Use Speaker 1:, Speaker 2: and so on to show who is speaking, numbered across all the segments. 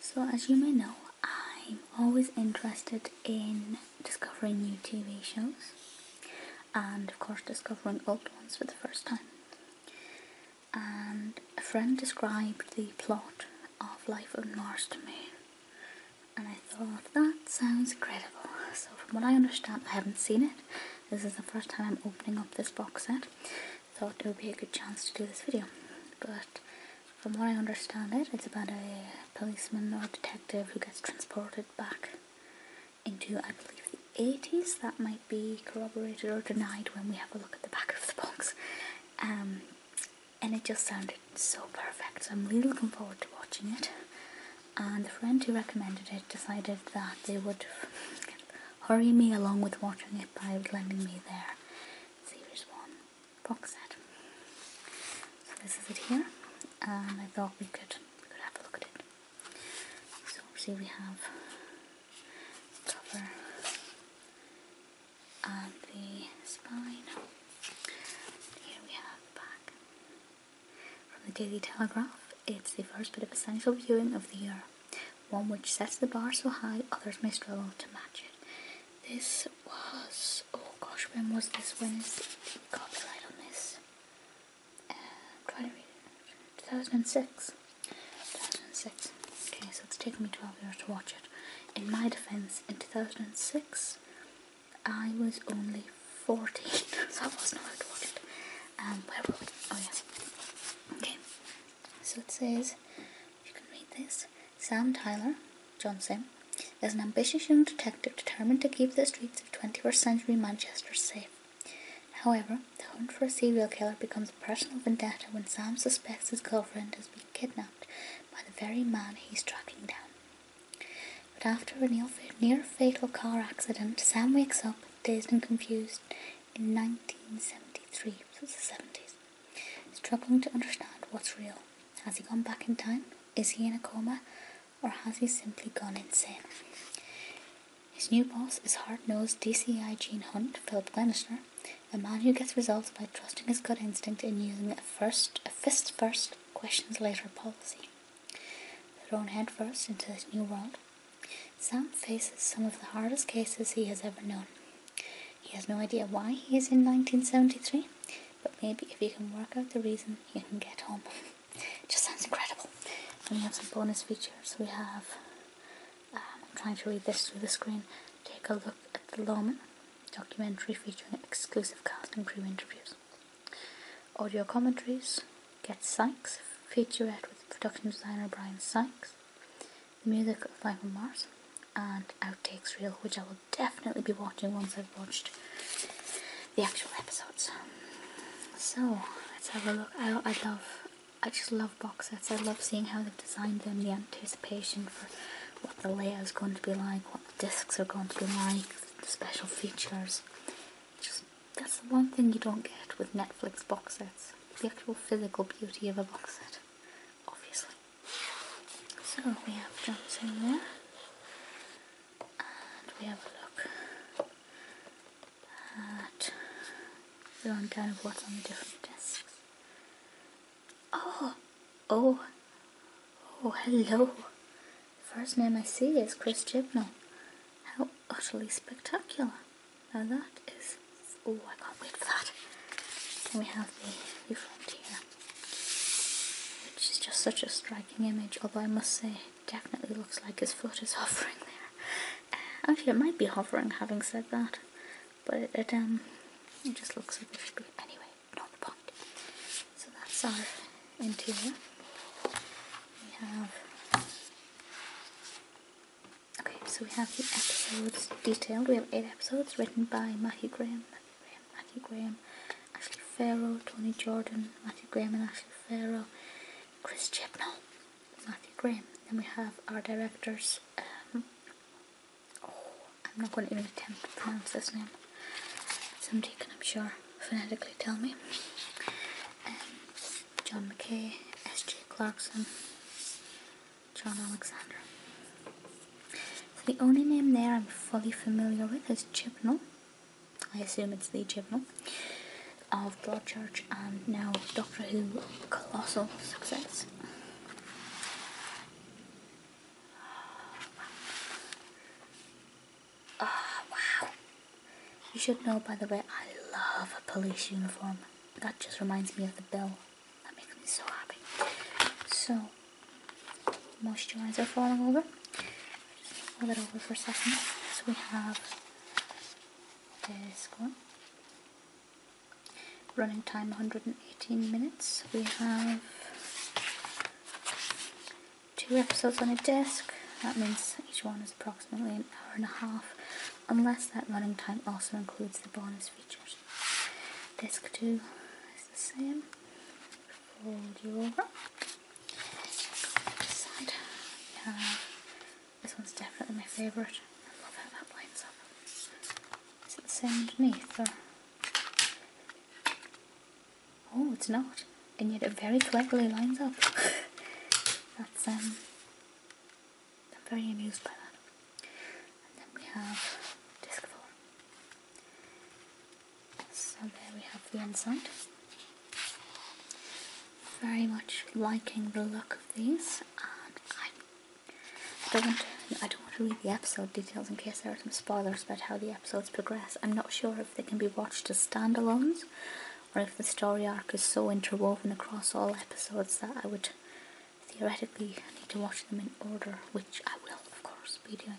Speaker 1: So as you may know, I'm always interested in discovering new TV shows and of course discovering old ones for the first time. And a friend described the plot of Life on Mars to me and I thought that sounds incredible. So from what I understand I haven't seen it. This is the first time I'm opening up this box set thought it would be a good chance to do this video. But from what I understand it, it's about a policeman or detective who gets transported back into, I believe, the 80s. That might be corroborated or denied when we have a look at the back of the box. Um, and it just sounded so perfect. So I'm really looking forward to watching it. And the friend who recommended it decided that they would Hurry me along with watering it by lending me there. Series 1 box set. So this is it here, and I thought we could, could have a look at it. So see we have cover and the spine. Here we have the back from the Daily Telegraph it's the first bit of essential viewing of the year, one which sets the bar so high others may struggle to match it. This was, oh gosh, when was this? When is copyright on this? Uh, trying to read 2006. 2006. Okay, so it's taken me 12 years to watch it. In my defense, in 2006, I was only 14, so I wasn't allowed to watch it. Um, where were we? Oh, yeah. Okay, so it says, you can read this. Sam Tyler Johnson is an ambitious young detective determined to keep the streets of 21st century Manchester safe. However, the hunt for a serial killer becomes a personal vendetta when Sam suspects his girlfriend has been kidnapped by the very man he's tracking down. But after a near fatal car accident, Sam wakes up dazed and confused in 1973, so the 70s, struggling to understand what's real. Has he gone back in time? Is he in a coma? Or has he simply gone insane? His new boss is hard nosed DCI Gene Hunt, Philip Glenister, a man who gets results by trusting his gut instinct and using a first, a fist first, questions later policy thrown headfirst into this new world, Sam faces some of the hardest cases he has ever known. He has no idea why he is in 1973, but maybe if he can work out the reason, he can get home. it just sounds incredible. And we have some bonus features. We have, um, I'm trying to read this through the screen, take a look at the Lawman documentary featuring exclusive cast and crew interviews, audio commentaries, Get Sykes, featurette with production designer Brian Sykes, the music of Life on Mars, and Outtakes Reel, which I will definitely be watching once I've watched the actual episodes. So, let's have a look. I, love, I just love box sets. I love seeing how they've designed them, the anticipation for what the layout is going to be like, what the discs are going to be like, the special features. Just that's the one thing you don't get with Netflix box sets the actual physical beauty of a box set, obviously. So we have jumps in there, and we have a look at the kind of what's on the different discs. Oh! Oh! Oh, hello! First name I see is Chris Chibnall. How utterly spectacular. Now that is... Oh, I can't wait for that. Then we have the, new frontier, Which is just such a striking image, although I must say definitely looks like his foot is hovering there. Uh, actually, it might be hovering, having said that. But it, um, it just looks like it should be. Anyway, not the point. So that's our interior. We have okay, so we have the episodes detailed. We have eight episodes written by Matthew Graham, Matthew Graham, Matthew Graham, Ashley Farrow, Tony Jordan, Matthew Graham and Ashley Farrow, Chris Chibnall, Matthew Graham. Then we have our directors. Um, oh, I'm not going to even attempt to pronounce this name. Somebody can, I'm sure phonetically tell me. Um, John McKay, S.J. Clarkson, John Alexander. the only name there I'm fully familiar with is Chibnall. I assume it's the Chibnall of Broadchurch and now Doctor Who colossal success. Oh, wow. You should know, by the way, I love a police uniform. That just reminds me of the bill. That makes me so happy. So, most are falling over. Just hold it over for a second. So we have this one. Running time 118 minutes. We have two episodes on a disc. That means each one is approximately an hour and a half, unless that running time also includes the bonus features. Disc 2 is the same. Fold you over. This one's definitely my favourite. I love how that lines up. Is it the same underneath Oh, it's not. And yet it very cleverly lines up. That's, um, I'm very amused by that. And then we have disc 4. So there we have the inside. Very much liking the look of these, and I, I don't want to, I don't want to read the episode details in case there are some spoilers about how the episodes progress. I'm not sure if they can be watched as standalones, or if the story arc is so interwoven across all episodes that I would theoretically need to watch them in order, which I will, of course, be doing.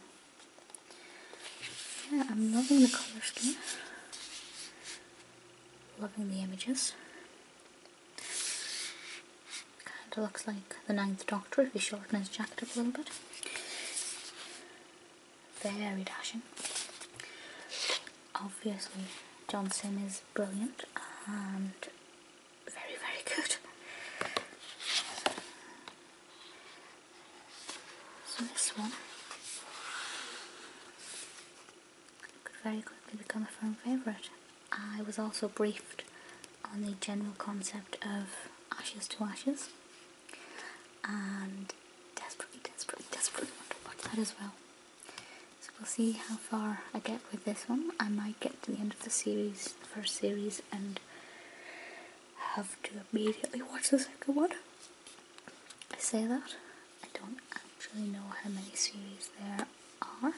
Speaker 1: Yeah, I'm loving the colour scheme, loving the images. Kind of looks like the Ninth Doctor if he shortens his jacket up a little bit very dashing. Obviously, Johnson is brilliant and very, very good. So this one could very quickly become a firm favourite. I was also briefed on the general concept of ashes to ashes and desperately, desperately, desperately want to watch that as well. So we'll see how far I get with this one. I might get to the end of the series, the first series, and have to immediately watch the second one. I say that. I don't actually know how many series there are,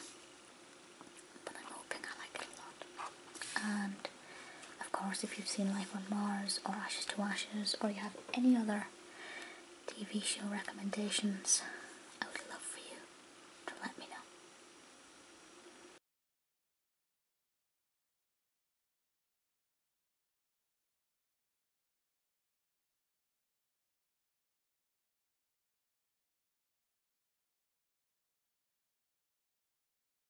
Speaker 1: but I'm hoping I like it a lot. And of course, if you've seen Life on Mars or Ashes to Ashes or you have any other TV show recommendations, I would love for you to let me know.